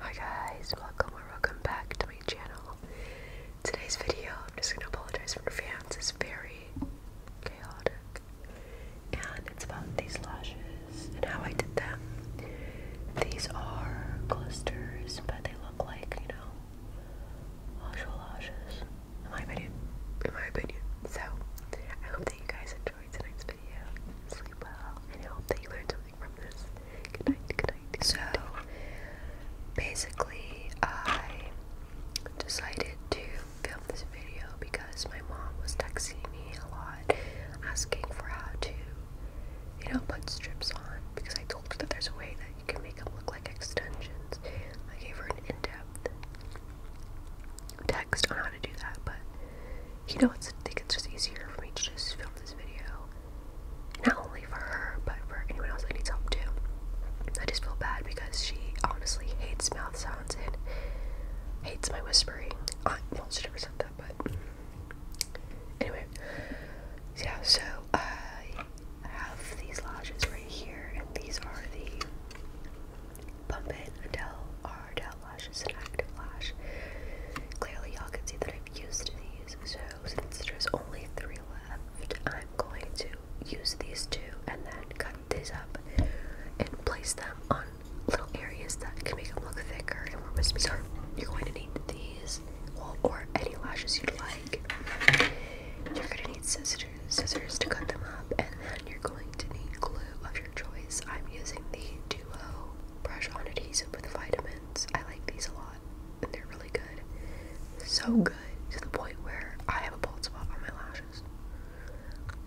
Hi guys, welcome or welcome back to my channel. Today's video, I'm just gonna apologize for fans, it's very chaotic. And it's about these lashes and how I did them. These are clusters, but they look like, you know, actual lashes. In my opinion. In my opinion. So I hope that you guys enjoyed tonight's I so, basically, I decided to film this video because my mom was texting me a lot asking for how to, you know, put strips on because I told her that there's a way that you can make them look like extensions. I gave her an in depth text on how to do that, but you know, I think it's just easier for me to just film this video. Not only for her, but for anyone else that needs help too. I just feel bad because she honestly hates mouth sounds and hates my whispering. I, well, she never said that, but anyway. Yeah, so I have these lodges right here, and these are the Pump Adele Ardell lash is an active lash. Clearly, y'all can see that I've used these, so since there's only three left, I'm going to use these two and then cut these up and place them on little areas that can make them look thicker and more wispy. So, you're going to need these or any lashes you'd like. You're going to need scissors, scissors to cut them up, and then you're going to need glue of your choice. I'm using the Duo brush on adhesive with vitamins. I like these a lot, and they're really good. So good to the point where I have a bald spot on my lashes.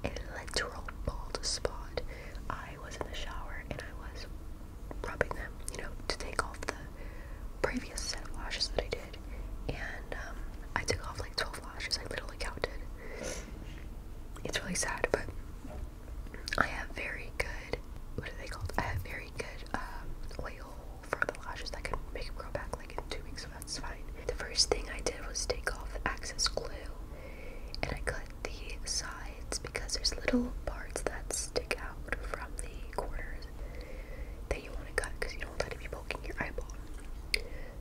A literal bald spot. I was in the shower and I was rubbing them, you know, to take off the previous set of lashes that I did. And um, I took off like 12 lashes. I literally counted. It's really sad, but I have very good, what are they called? I have very good um, oil for the lashes that can make them grow back like in two weeks, so that's fine. The first thing I did was take off the access glue and I cut the sides because there's little parts that stick out from the corners that you want to cut because you don't want it to be poking your eyeball.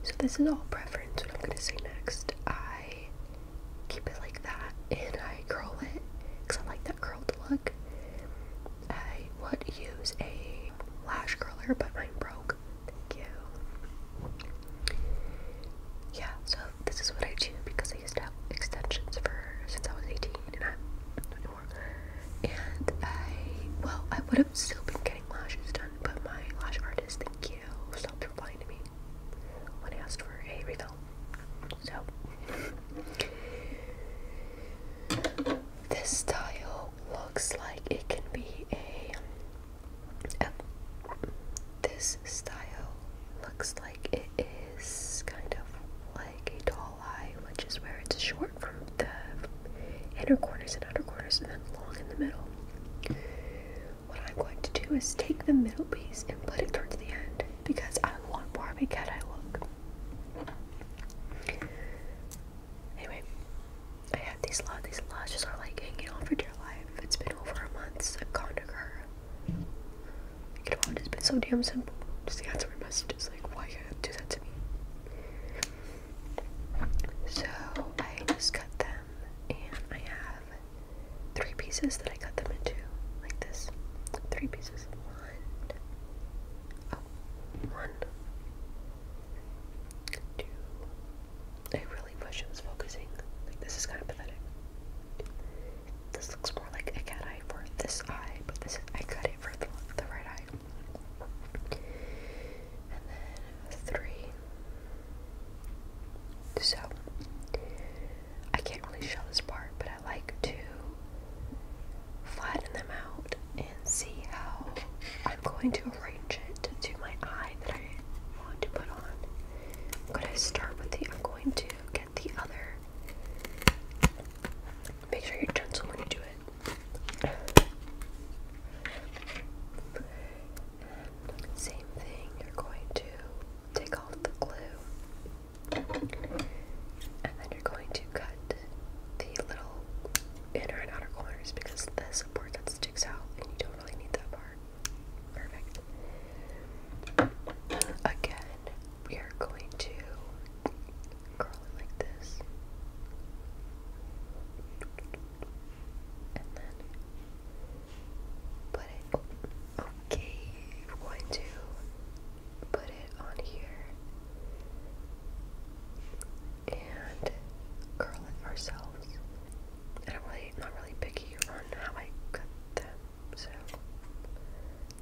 So this is all preference, what I'm going to say next. I keep it like that and I curl it because I like that curled look. I would use a lash curler, but mine broke. Thank you. Yeah, so this is what I do because I used to have extensions for since I was 18 and I'm not And I, well, I would have still been getting lashes done, but my lash artist, thank you, stopped replying to me when he asked for a refill. So, this style looks like it can be a. this style looks like it is kind of like a tall eye, which is where it's short from the inner corners and outer corners and then long in the middle. What I'm going to do is take the middle piece and put it towards the end because I want more of a cat eye look. Anyway, I had these lot. These lashes are like hanging on for dear life. It's been over a month since i It's been so damn simple. Just answer messages. Like, why do that to me? So I just cut them and I have three pieces that I cut them into, like this. Three pieces. One. Oh, I really wish it was focusing. Like, this is kind of pathetic. This looks more like a cat eye for this eye, but this is, I cut it for the, the right eye. And then three. So, I can't really show this part, but I like to flatten them out and see how I'm going to arrange it to my eye that I want to put on. I'm going to start with the, I'm going to get the other. Make sure you're gentle when you do it. Same thing, you're going to take off the glue and then you're going to cut the little inner and outer corners because the support that sticks out and you don't really need that part. Perfect. Again, we are going to curl it like this. And then put it, okay, I'm going to put it on here and curl it ourselves. I'm really not really picky on how I cut them, so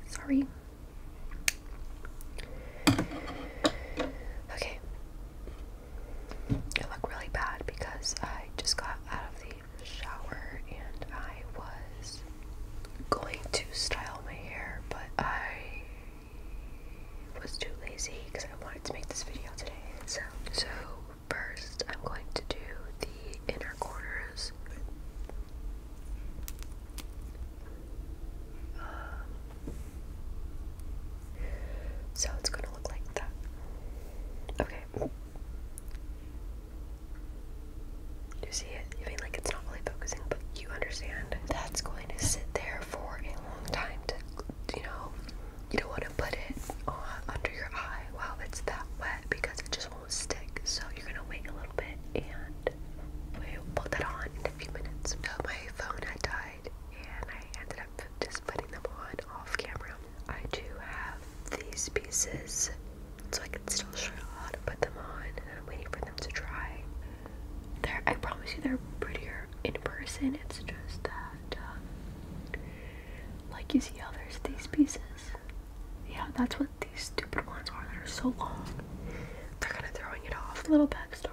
sorry. Okay, it looked really bad because I just got out of the shower and I was going to style my hair, but I was too lazy because I wanted to make this video today. So, so first I'm going to do the inner corners. Um, so it's gonna look like that. Okay. Do you see it? You mean like it's not really focusing, but you understand that's going to sit there for a long time to you know, you don't want to put it on under your eye while it's that wet because it just won't stick. So you're gonna wait a little bit and we'll put that on in a few minutes. So my phone had died and I ended up just putting them on off camera. I do have these pieces so I can still show you how to put them on and I'm waiting for them to dry. They're, I promise you they're prettier in person, it's just that um, like you see how there's these pieces. Yeah, that's what these stupid ones are they are so long. They're kind of throwing it off. A little backstory.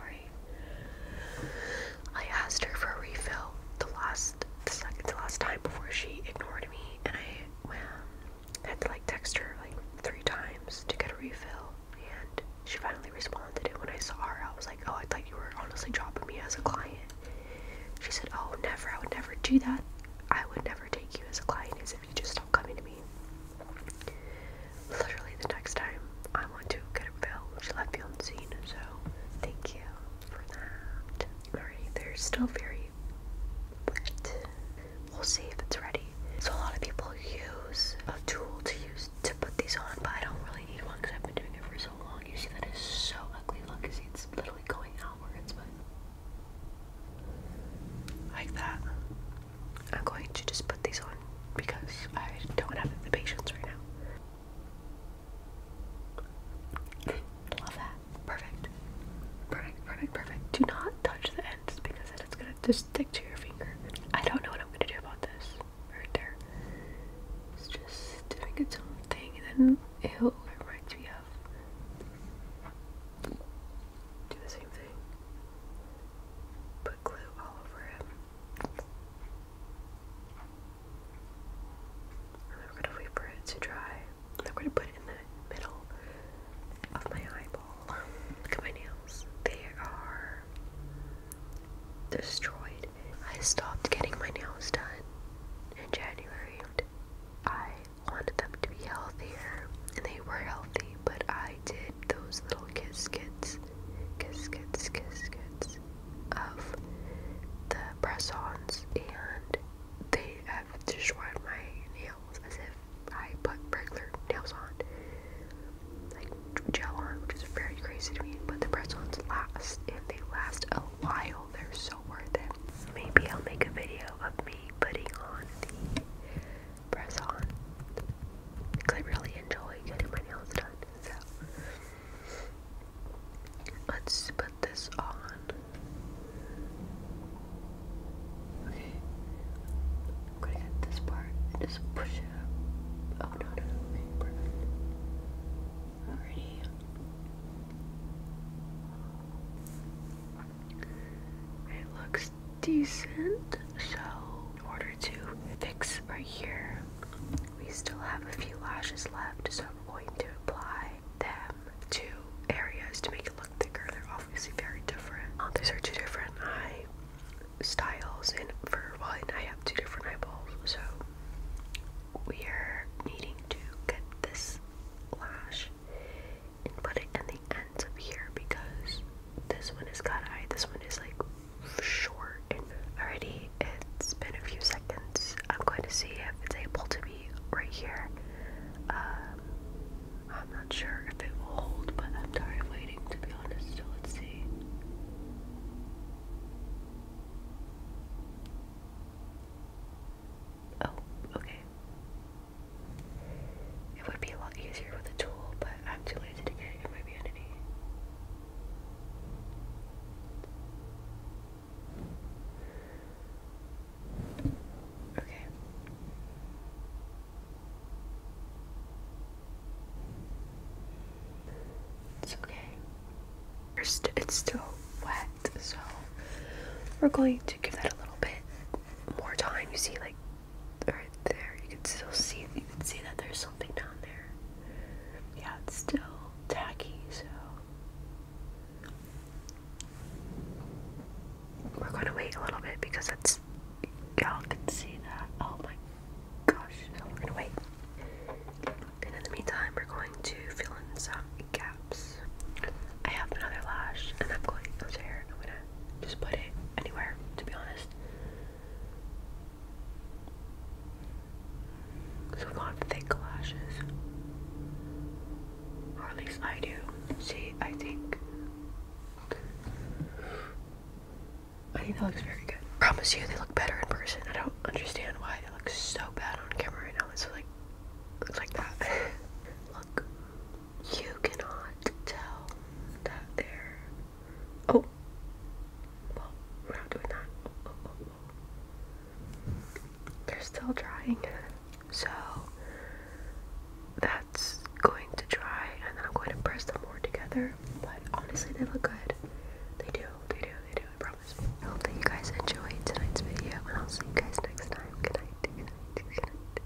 I asked her for a refill the last the second the last time before she ignored me and I had to like text her like three times to get a refill and she finally responded and when I saw her I was like, Oh, I thought you were honestly dropping me as a client. She said, Oh never, I would never do that. I would never take you as a client if you just stop coming to me literally the next time I want to get a bill, she left me on scene, so thank you for that. Alright, they still very We'll see if it's ready. So a lot of people use a tool to use to put these on, but I don't really need one because I've been doing it for so long. You see that is so ugly. Look, see it's literally going outwards, but like that. I'm going to just put these on because I don't have the patience right now. Love that. Perfect. Perfect, perfect, perfect. Do not touch the ends because it's gonna just stick to your finger. I don't know what I'm gonna do about this right there. It's just doing its own thing and then ew, it reminds me of do the same thing. Put glue all over him. And then gonna wait for it to dry. I'm gonna put it in the middle of my eyeball. Look at my nails. They are destroyed. I stopped getting my nails done in January. I wanted them to be healthier, and they were healthy, but I did those little caskets, caskets, caskets of the press-ons, and they have destroyed my nails as if I put regular nails on, like gel on, which is very crazy to me. But the press-ons last, and they last a while. They're so worth it. Maybe I'll make a video of me putting on the press on because I really enjoy getting my nails done. So let's put this on. Okay, gonna get this part and just push it up. Oh no, no, no, okay, It looks decent. So in order to fix right here, we still have a few lashes left. So I'm going to apply them to areas to make it look thicker. They're obviously very different. Uh, these are two different eye styles, and for one, I have two different eyeballs. So we are needing to get this lash and put it in the end up here because this one is cut eye, this one is like short. already it's been a few seconds. I'm going to see if it's able to be right here. Um, I'm not sure if it will hold, but I'm tired of waiting to be honest. So let's see. Oh, okay. It would be a lot easier with a tool, but I'm too lazy to get it in my vanity. Okay. It's okay. First, it's still wet, so we're going to give that a little bit more time. You see, like right there. You can still see you can see that there's something down there. Yeah, it's still tacky, so we're gonna wait a little bit because it's y'all can see that. Oh my gosh, so we're gonna wait. And in the meantime we're going to fill in some gaps. I have another lash and I'm going over here and I'm gonna just put it anywhere, to be honest. So we thick lashes. Or at least I do. See, I think I think that looks very good. Promise you they look better in person. I don't understand why they look so bad on camera right now. It's like looks like that. look you cannot tell that they're. Oh! we're not doing that. Oh, oh, oh, they're still drying. So, that's going to dry, and then I'm going to press them more together. But honestly, they look good. They do, they do, they do, I promise. I hope that you guys enjoyed tonight's video, and I'll see you guys next time. Good night, good night, good night.